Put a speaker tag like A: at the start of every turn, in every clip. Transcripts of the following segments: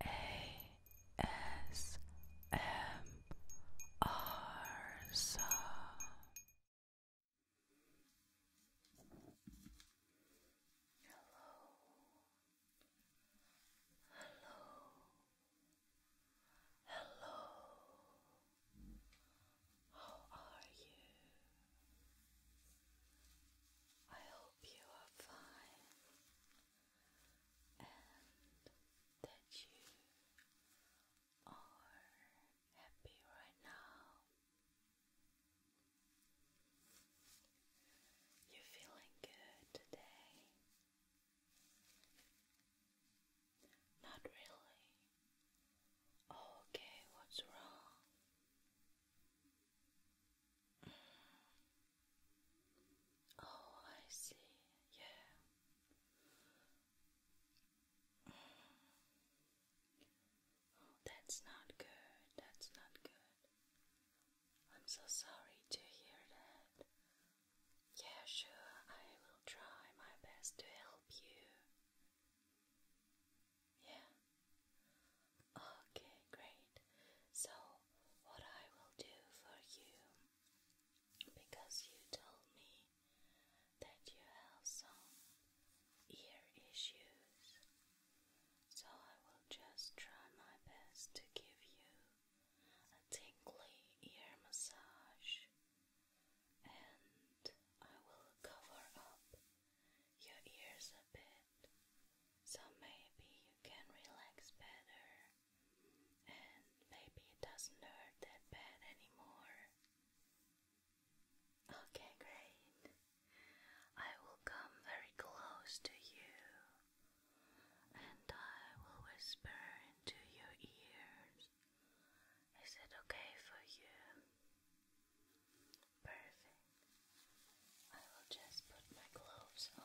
A: ASMR. Hello. Hello. Hello. How are you? I hope you are fine and that you are happy right now. you feeling good today. Not really. Oh, okay, what's wrong? Oh, I see. Yeah. Oh, that's not good. That's not good. I'm so sorry to hear that. Yeah, sure, I will try my best to help you. Yeah. Okay, great. So, what I will do for you, because you told me that you have some ear issues, so I will just try my best to give you a tingly ear massage and I will cover up your ears a bit, so maybe you can relax better, and maybe it doesn't hurt that bad anymore. Okay, great. I will come very close to you and I will whisper into your ears. Is it okay for you? Perfect. I will just put my gloves on.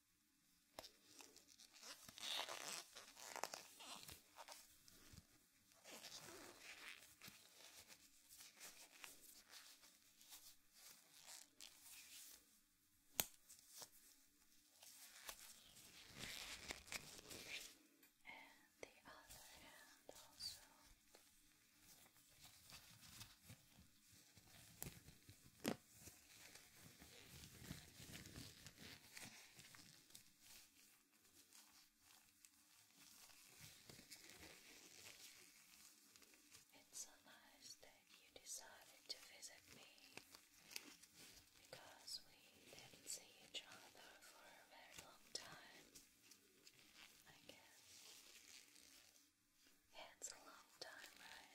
A: And the other hand also. It's nice that you decided to visit me because we didn't see each other for a very long time, I guess. it's a long time, right?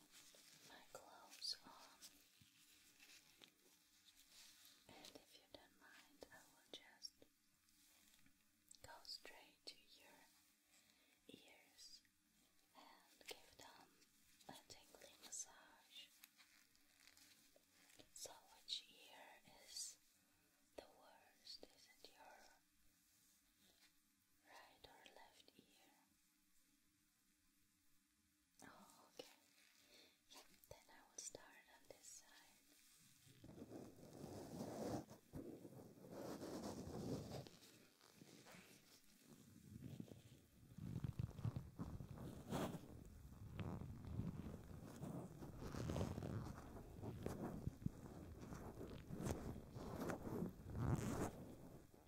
A: my gloves And if you don't mind, I will just go straight to your ears and give them a tingly massage. So, which ear is the worst? Is it your right or left ear? Oh, okay. then I will start on this side.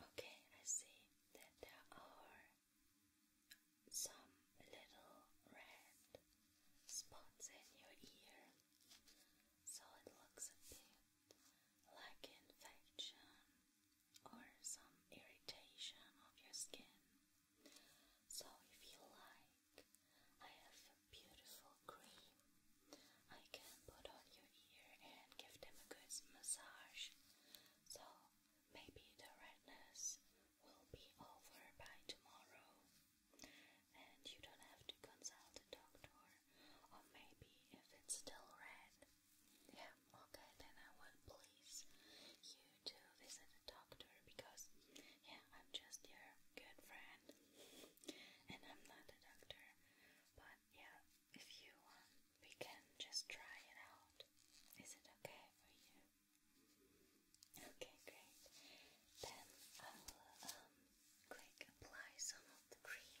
A: Okay, I see that there are some little red spots in your ear, so it looks a bit like infection or some irritation of your skin. So, if you like, I have a beautiful cream I can put on your ear and give them a good massage. So, maybe the redness will be over by tomorrow, and you don't have to consult a doctor, or maybe if it's still red. Yeah, okay, then I would please you to visit a doctor because, yeah, I'm just your good friend, and I'm not a doctor, but yeah, if you want, we can just try it out. Is it okay for you? Okay, great. Then I will um, apply some of the cream.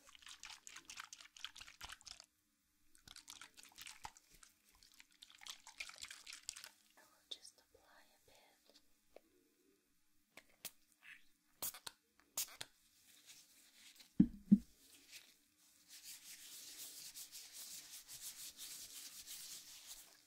A: I will just apply a bit.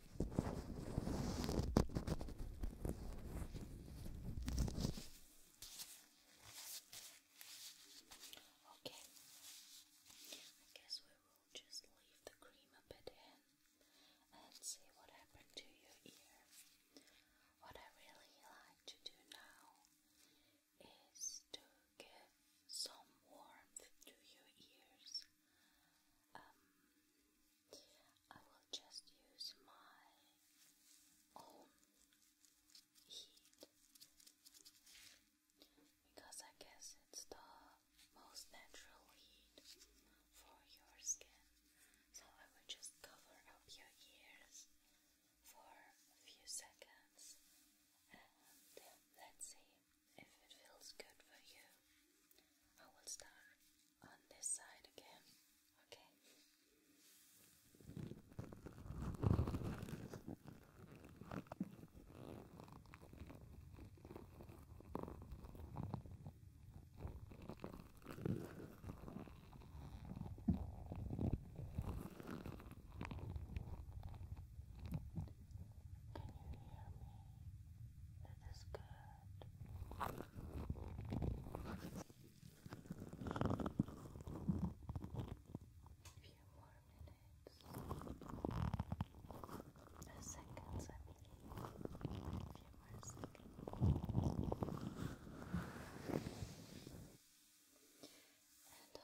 A: Okay, I guess we will just leave the cream a bit in and see what happened to your ear. What I really like to do now is to give some warmth to your ears um, I will just use my own heat because I guess it's the most natural heat for your skin. So I will just cover up your ears for a few seconds and let's see if it feels good for you, I will start on this side again. Okay. Can you hear me? It is good. Few more minutes. A seconds, I mean. A few more seconds. And on the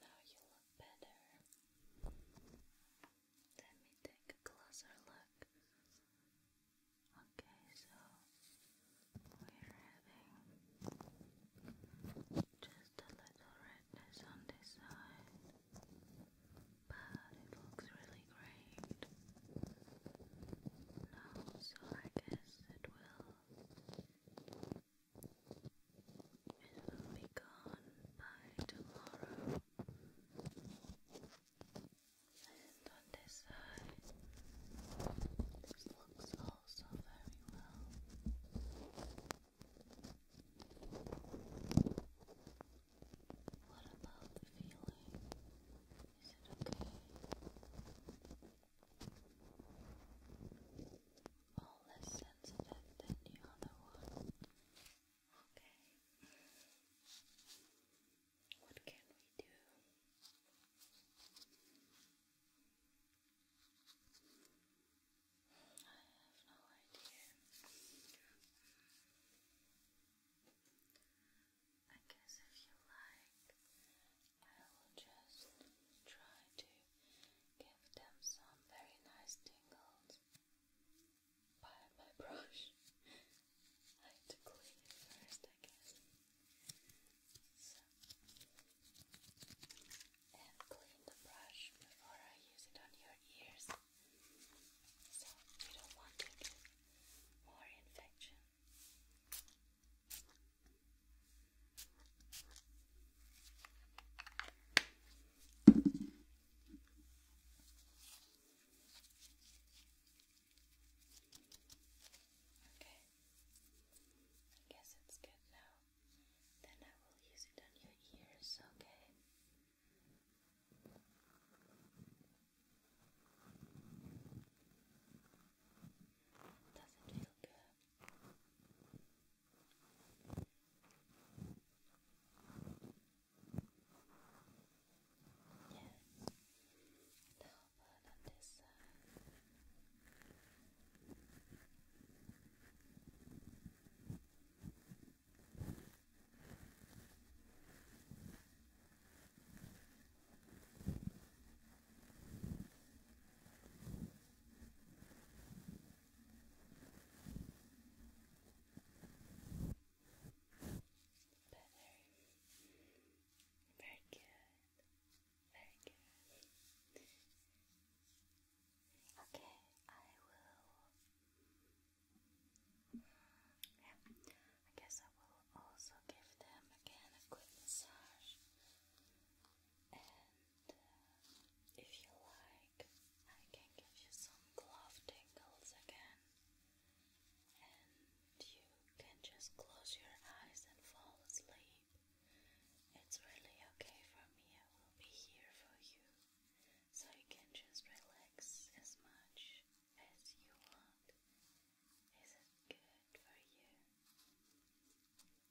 A: Now you look better. Let me take a closer look. Okay, so we're having just just a little redness on this side, but it looks really great now, so I guess it will. It will be gone by tomorrow. And on this side, this looks also very well. What about the feeling? Is it okay? less sensitive than the other one. Okay. What can we do? I have no idea. I guess if you like, I will just try to give them some very nice tingles by my brush. I have to clean it first, I guess. So, and clean the brush before I use it on your ears. So you don't want to more infection. Okay. I guess it's good now. Then I will use it on your ears, okay? Doesn't feel good. Yes. Now put this Better. Very good. Very good. Okay, I will. I guess I will also give them again a quick massage. And uh, if you like, I can give you some glove tingles again. And you can just close your eyes and fall asleep. It's really okay for me, I will be here for you so you can just relax as much as you want. Is it good for you?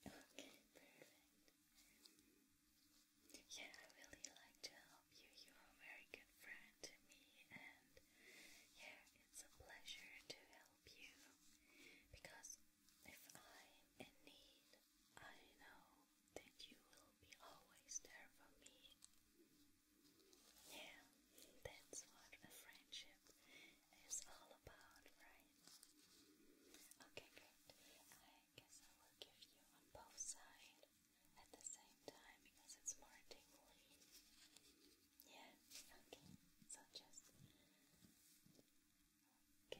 A: Okay, perfect. Yeah, I really like to help you. You're a very good friend to me, and yeah, it's a pleasure to help you because if I'm in need, I know that you will be always there for me. Yeah, that's what a friendship is all about, right? Okay, good. I guess I will give you on both sides at the same time because it's more tingly. Yeah, okay. So just. Okay,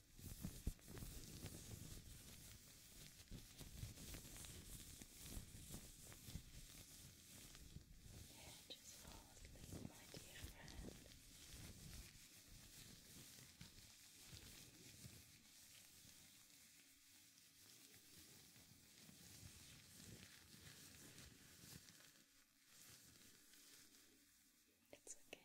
A: Yeah, just fall asleep, my dear friend. It's okay.